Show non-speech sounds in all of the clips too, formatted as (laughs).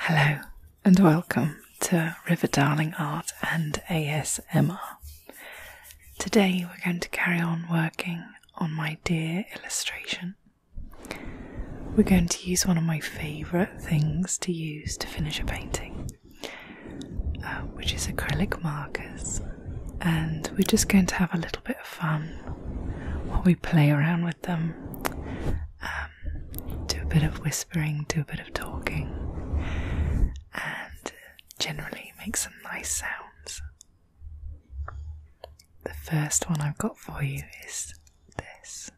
Hello and welcome to River Darling Art and ASMR. Today we're going to carry on working on my deer illustration. We're going to use one of my favourite things to use to finish a painting, uh, which is acrylic markers, and we're just going to have a little bit of fun while we play around with them. Uh, um, do a bit of whispering, do a bit of talking, and generally make some nice sounds. The first one I've got for you is this.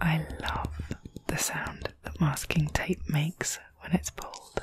I love the sound that masking tape makes when it's pulled.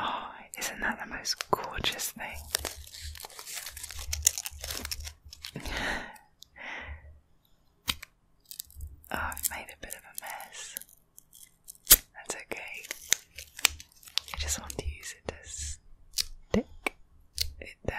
Oh, isn't that the most gorgeous thing? Oh, I've made a bit of a mess. That's okay. I just want to use it to stick it down.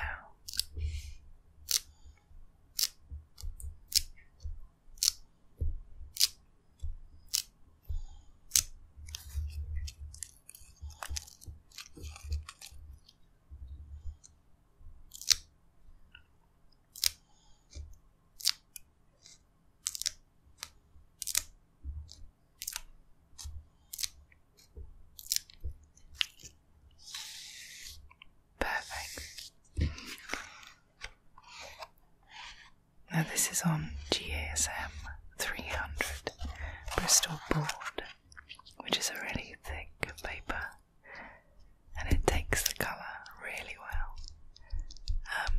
Perfect. Now, this is on GASM 300 Bristol board, which is a really thick paper and it takes the colour really well.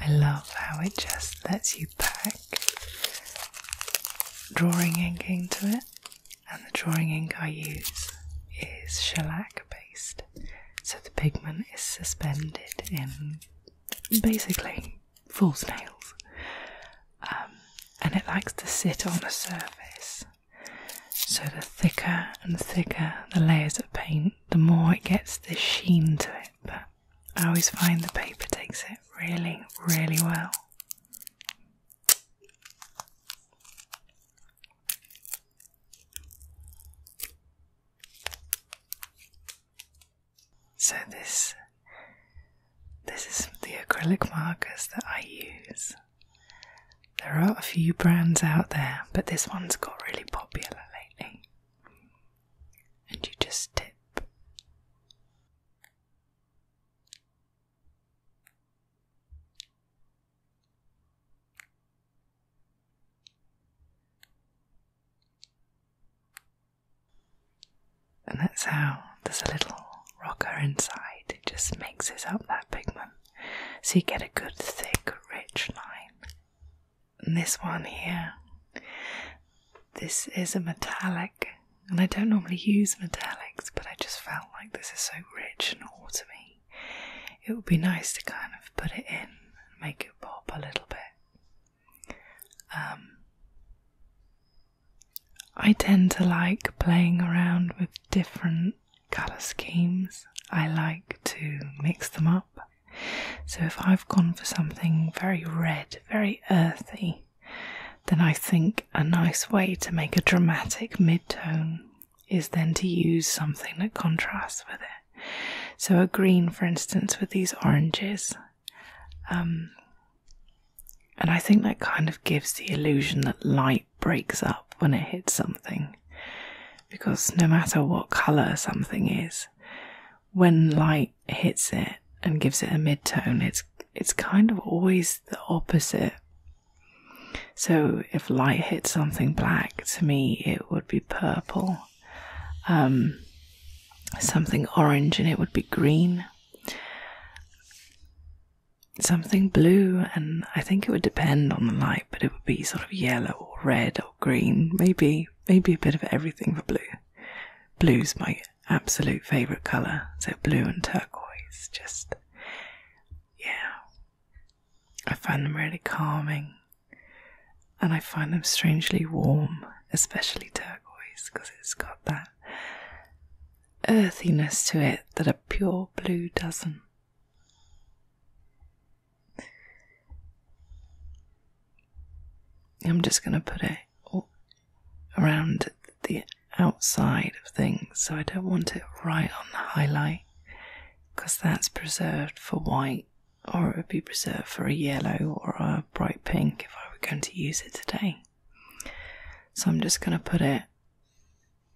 Um, I love how it just lets you pack drawing ink into it, and the drawing ink I use is shellac based, so the pigment is suspended in basically for nails, um, and it likes to sit on a surface. So the thicker and thicker the layers of paint, the more it gets the sheen to it. But I always find the paper takes it really, really well. So this this is the acrylic markers that I use. There are a few brands out there, but this one's got really popular lately. And you just tip. And that's how there's a little rocker inside, it just mixes up that pigment. So you get a good, thick, rich line. And this one here, this is a metallic, and I don't normally use metallics, but I just felt like this is so rich and all to me. It would be nice to kind of put it in and make it pop a little bit. Um, I tend to like playing around with different colour schemes. I like to mix them up. So if I've gone for something very red, very earthy, then I think a nice way to make a dramatic mid-tone is then to use something that contrasts with it. So a green, for instance, with these oranges um, and I think that kind of gives the illusion that light breaks up when it hits something. Because no matter what colour something is, when light hits it and gives it a mid-tone, it's it's kind of always the opposite. So if light hits something black, to me it would be purple. Um, something orange and it would be green, something blue, and I think it would depend on the light, but it would be sort of yellow or red or green, maybe maybe a bit of everything for blue. Blue's my absolute favorite color, so blue and turquoise, just yeah, I find them really calming and I find them strangely warm, especially turquoise, because it's got that earthiness to it that a pure blue doesn't. I'm just going to put it around the outside of things, so I don't want it right on the highlight because that's preserved for white or it would be reserved for a yellow or a bright pink if I were going to use it today. So I'm just going to put it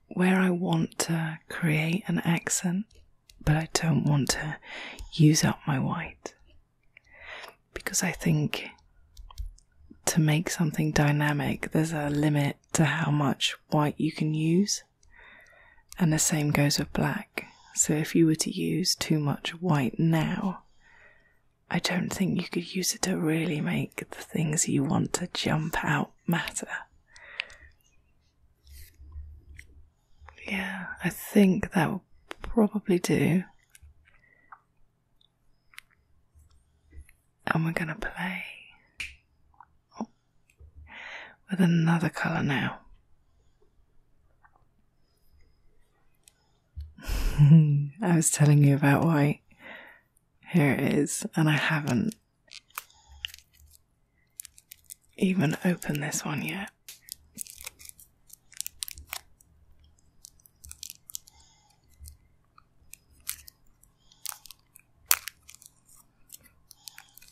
where I want to create an accent, but I don't want to use up my white. Because I think to make something dynamic, there's a limit to how much white you can use and the same goes with black. So if you were to use too much white now, I don't think you could use it to really make the things you want to jump out matter. Yeah, I think that will probably do. And we're going to play with another colour now. (laughs) I was telling you about why Here it is, and I haven't even opened this one yet.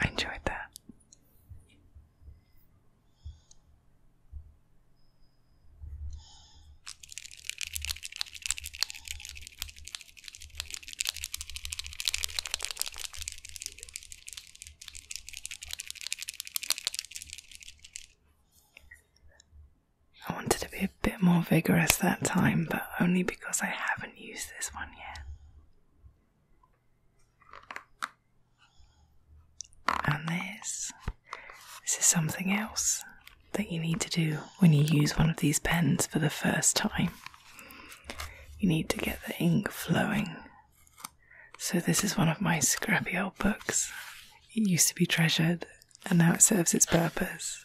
I enjoyed that. I wanted to be a bit more vigorous that time, but only because I haven't used this one yet. And this, this is something else that you need to do when you use one of these pens for the first time. You need to get the ink flowing. So, this is one of my scrappy old books. It used to be treasured, and now it serves its purpose.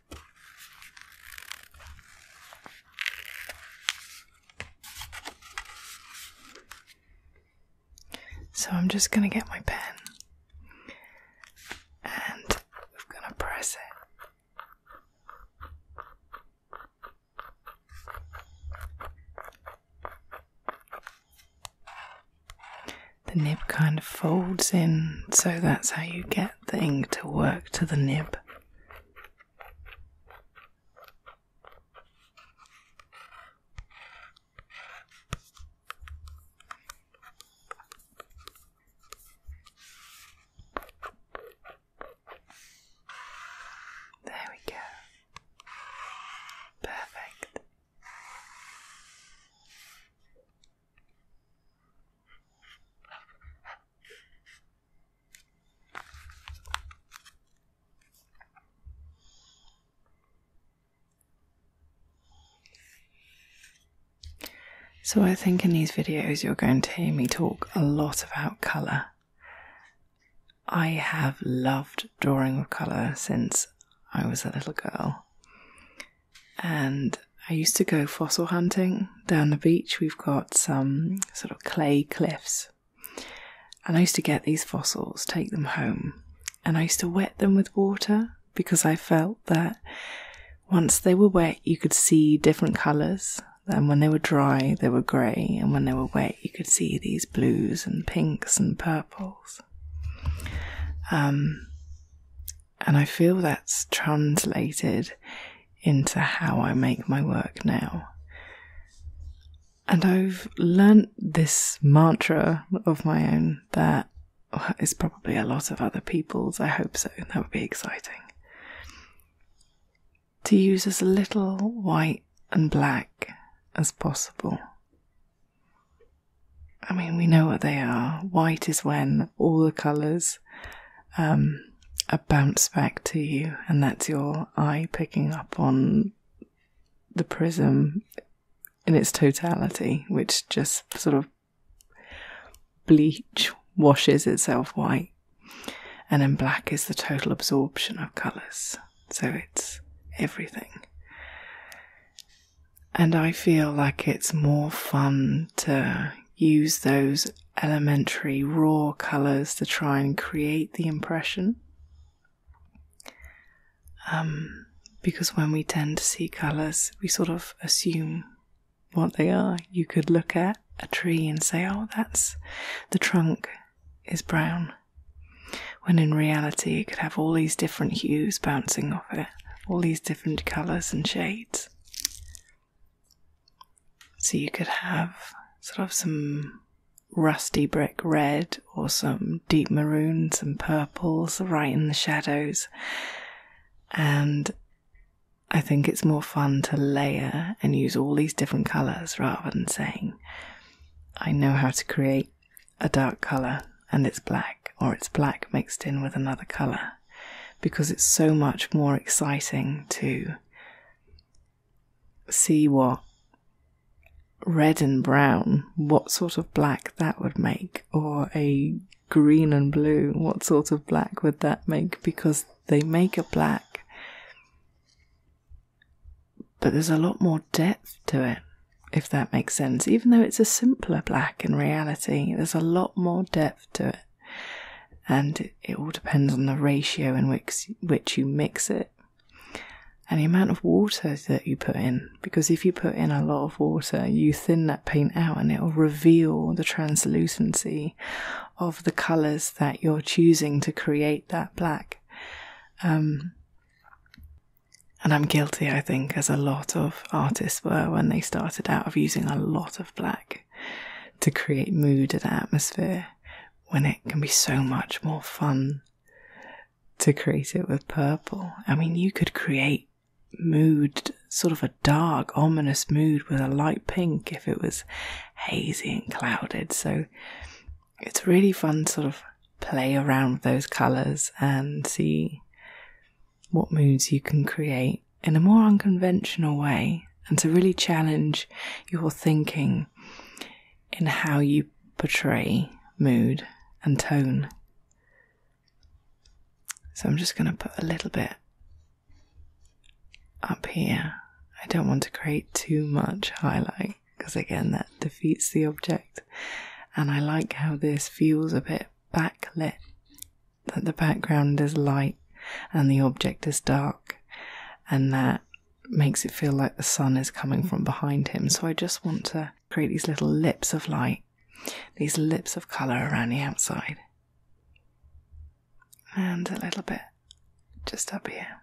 So I'm just going to get my pen and we're going to press it the nib kind of folds in, so that's how you get the ink to work to the nib. There we go. Perfect. So, I think in these videos you're going to hear me talk a lot about colour. I have loved drawing with colour since I was a little girl and I used to go fossil hunting down the beach. We've got some sort of clay cliffs. And I used to get these fossils, take them home, and I used to wet them with water because I felt that once they were wet, you could see different colors. And when they were dry, they were gray, and when they were wet, you could see these blues and pinks and purples. Um, and I feel that's translated into how I make my work now. And I've learnt this mantra of my own that is probably a lot of other people's. I hope so. That would be exciting. To use as little white and black as possible I mean, we know what they are. White is when all the colours um, bounce back to you, and that's your eye picking up on the prism in its totality, which just sort of bleach washes itself white. And then black is the total absorption of colours. So it's everything. And I feel like it's more fun to use those elementary raw colours to try and create the impression. Um, because when we tend to see colours, we sort of assume what they are. You could look at a tree and say, oh, that's the trunk is brown when in reality it could have all these different hues bouncing off it, all these different colours and shades. So you could have sort of some rusty brick red or some deep maroons and purples right in the shadows. And I think it's more fun to layer and use all these different colours rather than saying, I know how to create a dark color and it's black, or it's black mixed in with another color, because it's so much more exciting to see what red and brown, what sort of black that would make, or a green and blue, what sort of black would that make, because they make a black. But there's a lot more depth to it if that makes sense. Even though it's a simpler black in reality, there's a lot more depth to it. And it, all depends on the ratio in which, which you mix it and the amount of water that you put in. Because if you put in a lot of water, you thin that paint out and it'll reveal the translucency of the colors that you're choosing to create that black. Um, and I'm guilty, I think, as a lot of artists were when they started out, of using a lot of black to create mood and atmosphere when it can be so much more fun to create it with purple. I mean, you could create mood, sort of a dark, ominous mood with a light pink if it was hazy and clouded. So it's really fun to sort of play around with those colours and see what moods you can create in a more unconventional way and to really challenge your thinking in how you portray mood and tone. So I'm just going to put a little bit up here. I don't want to create too much highlight because again, that defeats the object. And I like how this feels a bit backlit, that the background is light and the object is dark, and that makes it feel like the sun is coming from behind him. So I just want to create these little lips of light, these lips of colour around the outside, and a little bit just up here.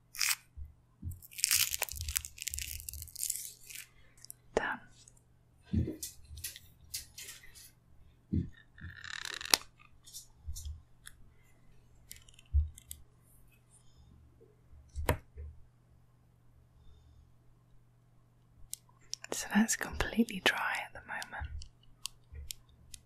Done. So that's completely dry at the moment.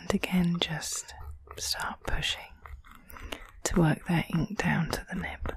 And again, just start pushing to work that ink down to the nib.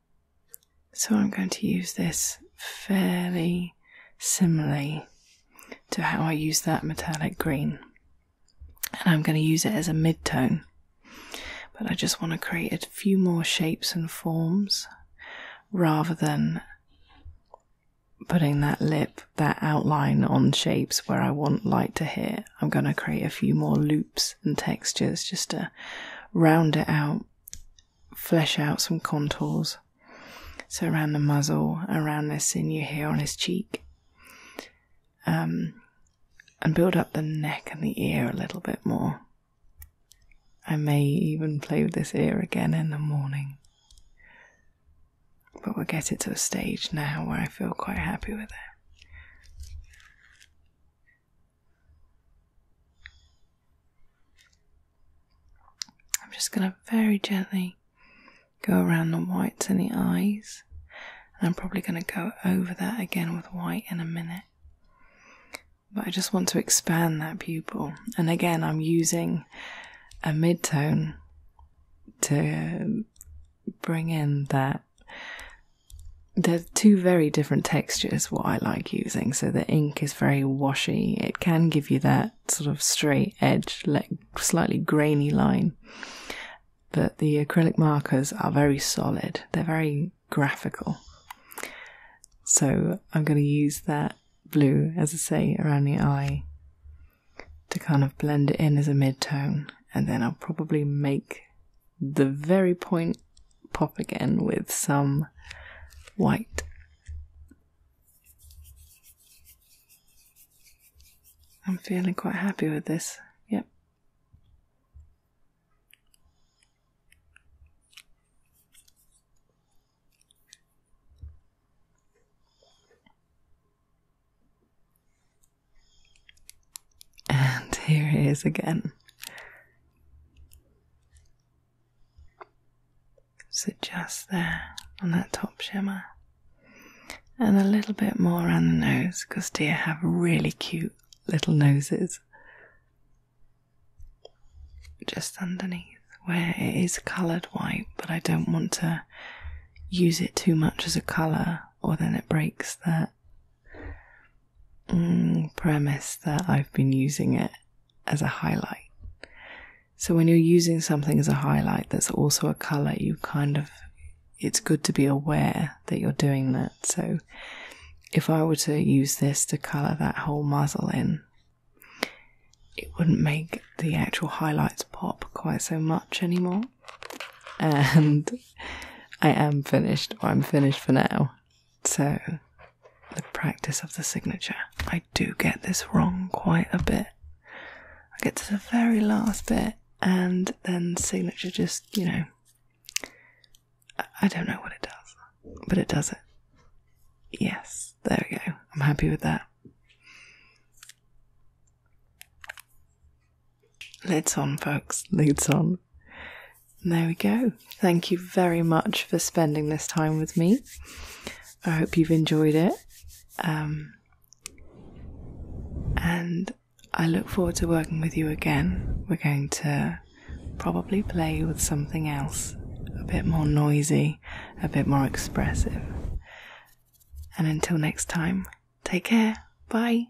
So I'm going to use this fairly similarly to how I use that metallic green. And I'm going to use it as a mid-tone. But I just want to create a few more shapes and forms rather than putting that lip, that outline on shapes where I want light to hit. I'm going to create a few more loops and textures just to round it out flesh out some contours. So around the muzzle, around the sinew here on his cheek, um, and build up the neck and the ear a little bit more. I may even play with this ear again in the morning. But we'll get it to a stage now where I feel quite happy with it. I'm just going to very gently go around the whites in the eyes, and I'm probably going to go over that again with white in a minute. But I just want to expand that pupil, and again, I'm using a midtone to bring in that. They're two very different textures, what I like you. So the ink is very washy. It can give you that sort of straight edge, slightly grainy line. But the acrylic markers are very solid. They're very graphical. So I'm going to use that blue, as I say, around the eye to kind of blend it in as a mid tone. And then I'll probably make the very point pop again with some white. I'm feeling quite happy with this. Yep. And here he is again. Sit just there on that top shimmer. And a little bit more around the nose because deer have really cute little noses. Just underneath where it is coloured white, but I don't want to use it too much as a colour or then it breaks that Mm, premise that I've been using it as a highlight. So when you're using something as a highlight that's also a color, you kind of it's good to be aware that you're doing that. So if I were to use this to color that whole muzzle in, it wouldn't make the actual highlights pop quite so much anymore. (laughs) And I am finished, or I'm finished for now. So, the practice of the signature. I do get this wrong quite a bit. I get to the very last bit, and then signature just, you know, I don't know what it does, but it does it. Yes, there we go. I'm happy with that. Lids on, folks, lids on there we go. Thank you very much for spending this time with me. I hope you've enjoyed it. Um, and I look forward to working with you again. We're going to probably play with something else a bit more noisy, a bit more expressive. And until next time, take care. Bye.